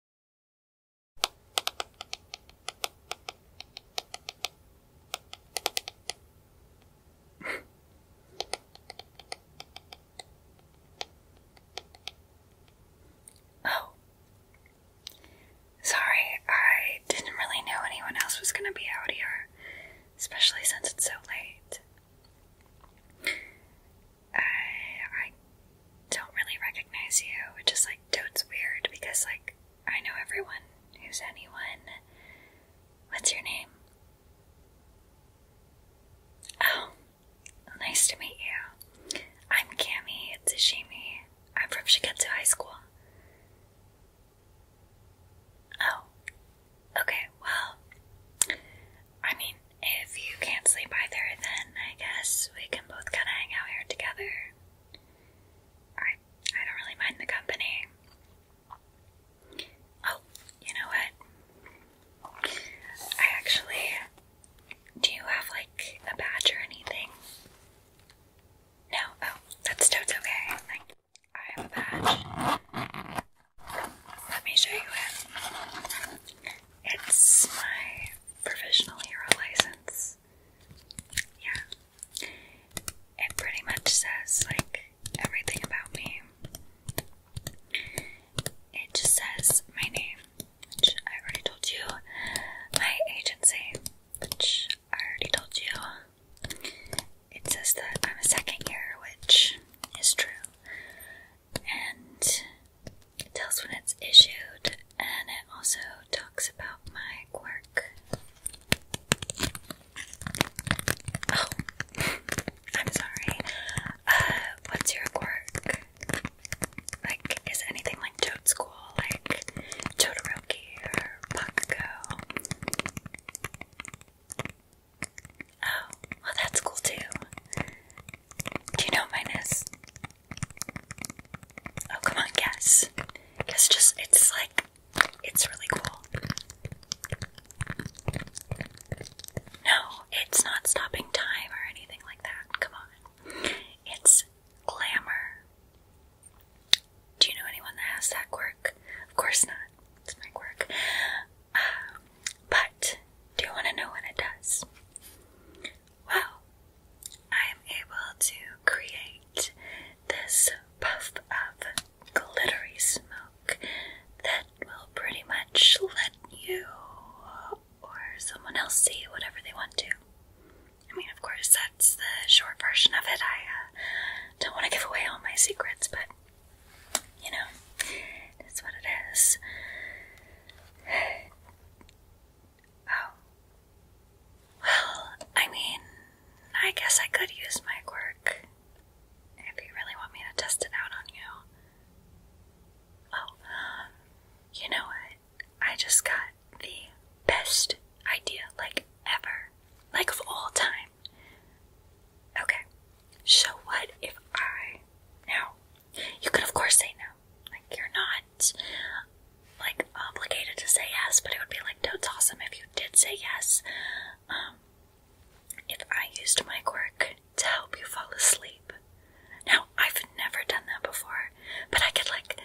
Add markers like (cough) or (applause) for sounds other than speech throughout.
(laughs) oh. Sorry, I didn't really know anyone else was going to be out here, especially since it's so late. I, I don't really recognize you, which is like it's weird because like I know everyone who's anyone. What's your name? Oh, nice to meet you. I'm Cami Tsashimi. I'm from Shiketsu High School. Oh, okay, well, I mean, if you can't sleep either, then I guess we can both kind of hang out here together. I I don't really mind the company. Oh, you know what? I actually do you have like a badge or anything? No. Oh, that's totes okay. Like, I have a badge. Let me show you it. It's my professional hero license. Yeah. It pretty much says, like, everything about me. It just says my name, which I already told you, my agency, which I already told you. It says that I'm a second hero, which is true and it tells when it's issued, and it also talks about my quirk. Oh, (laughs) I'm sorry. Uh, what's your quirk? Like, is anything like Toad School, like Todoroki or Bakugo? Oh, well, that's cool too. Do you know what mine is? Oh, come on, guess. It's just, it's like, it's really cool. No, it's not stopping time or anything like that. Come on. It's glamour. Do you know anyone that has that quirk? Of course not. It's my quirk. (sighs) but do you want to know what it does? Well, I am able to create this puff of glittery smoke that will pretty much let you or someone else see whatever they want to. I mean, of course, that's the short version of it. I uh, don't want to give away all my secrets, but you know, it's what it is. Oh. Well, I mean, I guess I could use my quirk. If you really want me to test it out on you. Oh, um, you know what? I just got the best idea, like ever. Like of all time. Okay, so what if I. Now, you could, of course, say no. Like, you're not, like, obligated to say yes, but it would be like, no, awesome if you did say yes. Um, if I used my quirk to help you fall asleep. Now, I've never done that before, but I could, like,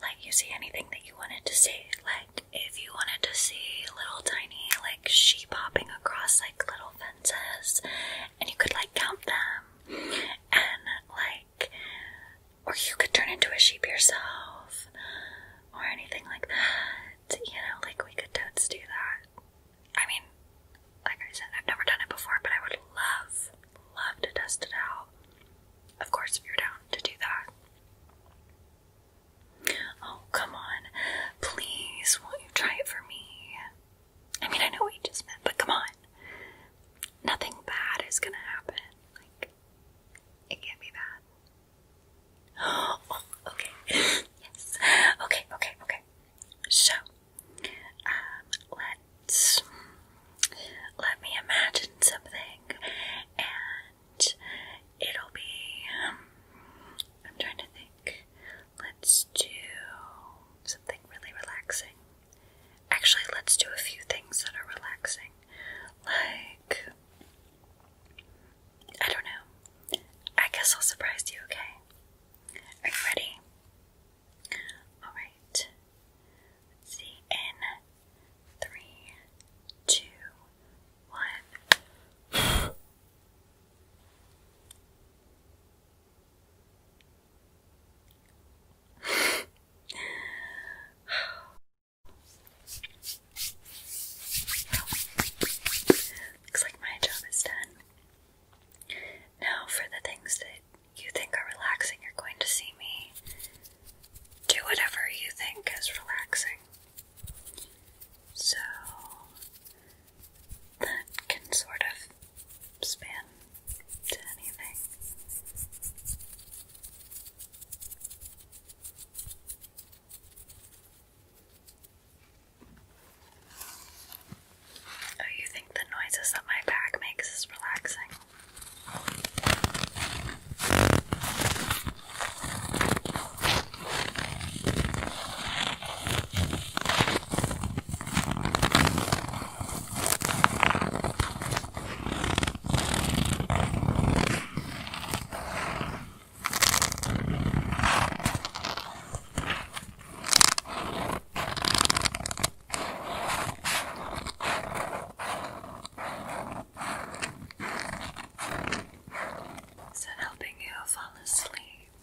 let you see anything that you wanted to see. Like, if you wanted to see little tiny, like, sheep hopping across, like, little senses and you could like count them and like or you could turn into a sheep yourself or anything like that. You know, like we could totes do that. I mean, like I said, I've never done it before, but I would love, love to test it out. Of course, if you're down to do that. Oh, come on. Please, won't you try it for me? I mean, I know what we just meant, but come on. Nothing bad is gonna happen. Like, it can't be bad. (gasps) Oh, okay. (laughs) yes. Okay, okay, okay. So, um, let Let me imagine something, and it'll be. I'm trying to think. Let's do something really relaxing. Actually, let's do a few things that are relaxing. Like, I don't know. I guess I'll surprise you, okay? Are you ready? Alright. see. In three, two, one. Looks like my job is done. Now, for the things that you think are relaxing, you're going to see me do whatever you think is relaxing. So, that can sort of span to anything. Oh, you think the noises that my bag makes is relaxing? Is it helping you fall asleep?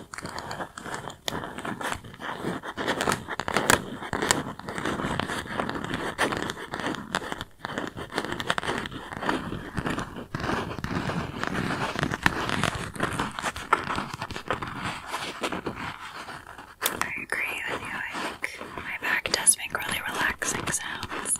I agree with you. I think my back does make really relaxing sounds.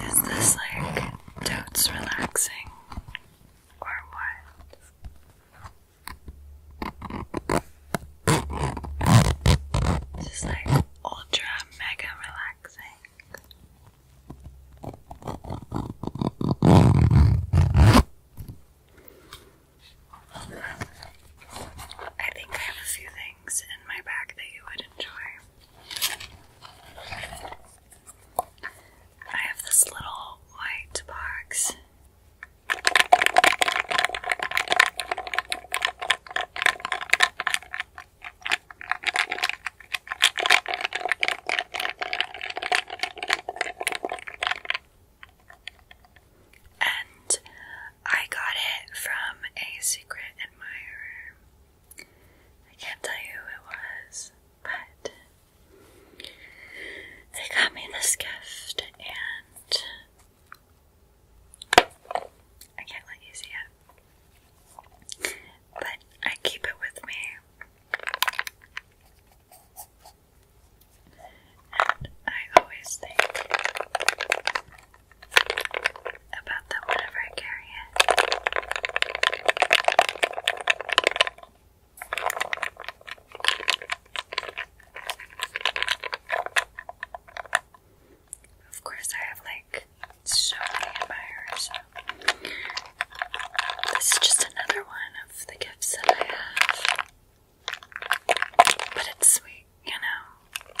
Is this like totes relaxing or what? This is like ultra mega relaxing. I think I have a few things in my bag that you would enjoy. I have this little white box. And I got it from a secret admirer. I can't tell you who it was, but they got me this gift, and I can't let you see it. But I keep it with me. And I always think about them whenever I carry it. Of course, I have like so many admirers. This is just another one of the gifts that I have. But it's sweet, you know.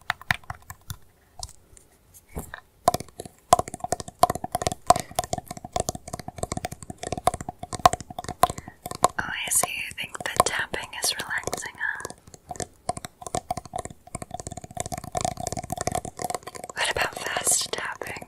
Oh, I see. You think the tapping is relaxing, huh? What about fast tapping?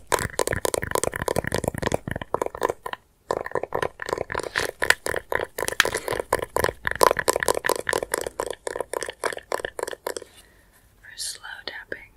For slow tapping.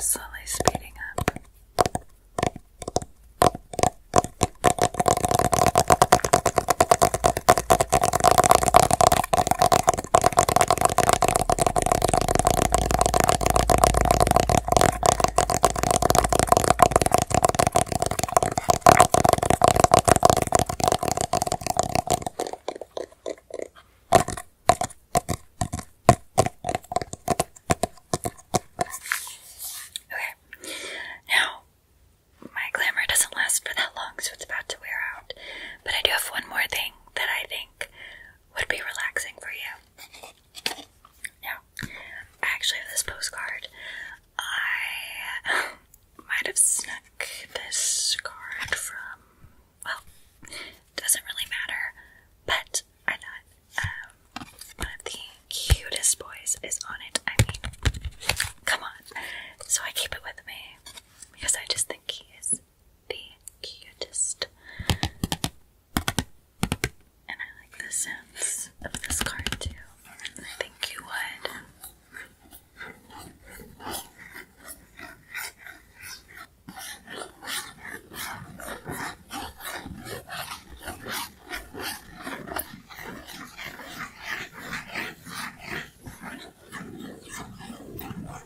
Slowly speeding up. Okay, now my glamour doesn't last for that long, so it's about to wear out. But I do have one more thing that I think would be relaxing for you. Now, I actually have this postcard. I might have snuck this card from, well, doesn't really matter, but I thought um, one of the cutest boys is on it. I mean, come on. So I keep it with me because I just think he is the cutest. And I like the sounds of this card too. I think you would.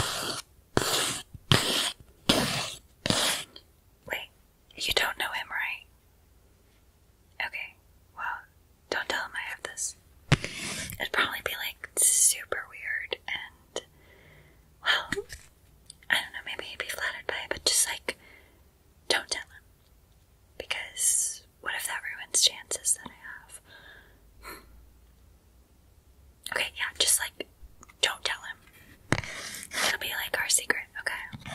Wait, you don't know him, right? Okay, well, don't tell him I have this. It'd probably be like super weird and, well, I don't know, maybe he'd be flattered by it, but just like, don't tell him. Because what if that ruins chances that I have? Okay, yeah, just like don't tell him. It'll be like our secret, okay?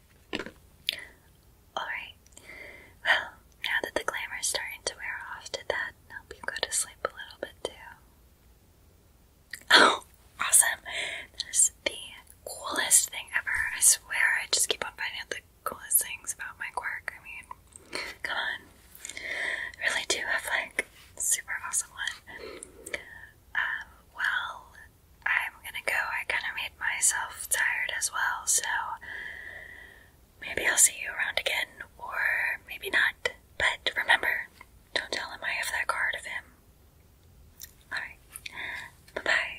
Alright, well, now that the glamour's starting to wear off, did that help you go to sleep a little bit too? Oh, awesome! That is the coolest thing ever. I swear, I just keep on finding out the coolest things about my quirk. I mean, come on. I really do have like super awesome one. Uh, well, I'm gonna go. I kind of made myself tired as well, so maybe I'll see you around again, or maybe not. But remember, don't tell him I have that card of him. Alright, bye bye.